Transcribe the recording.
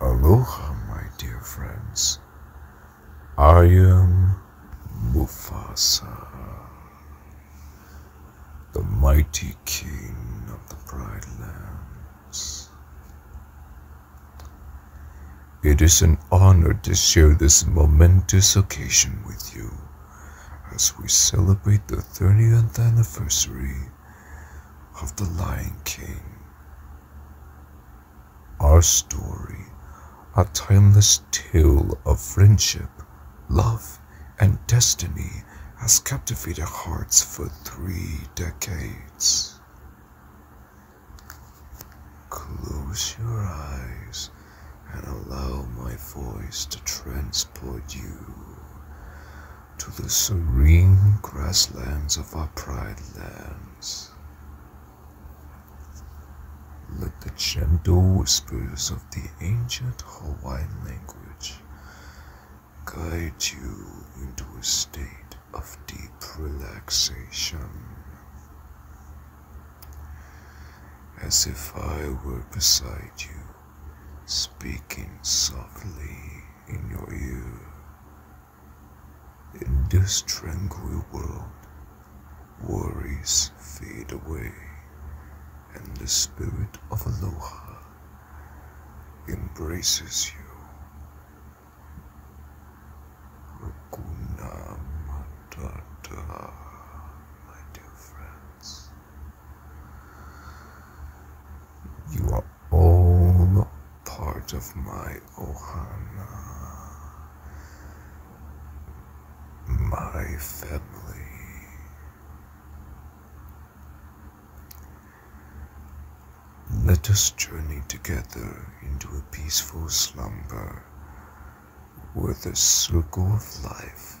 Aloha, my dear friends. I am Mufasa, the mighty king of the Pride Lands. It is an honor to share this momentous occasion with you as we celebrate the 30th anniversary of The Lion King. Our story, a timeless tale of friendship, love, and destiny, has captivated hearts for three decades. Close your eyes and allow my voice to transport you to the serene grasslands of our pride lands. Let the gentle whispers of the ancient Hawaiian language guide you into a state of deep relaxation. As if I were beside you speaking softly in your ear. In this tranquil world, worries fade away, and the spirit of Aloha embraces you. Hakuna my dear friends. You are all part of my Ohana, my family. Let us journey together into a peaceful slumber with the circle of life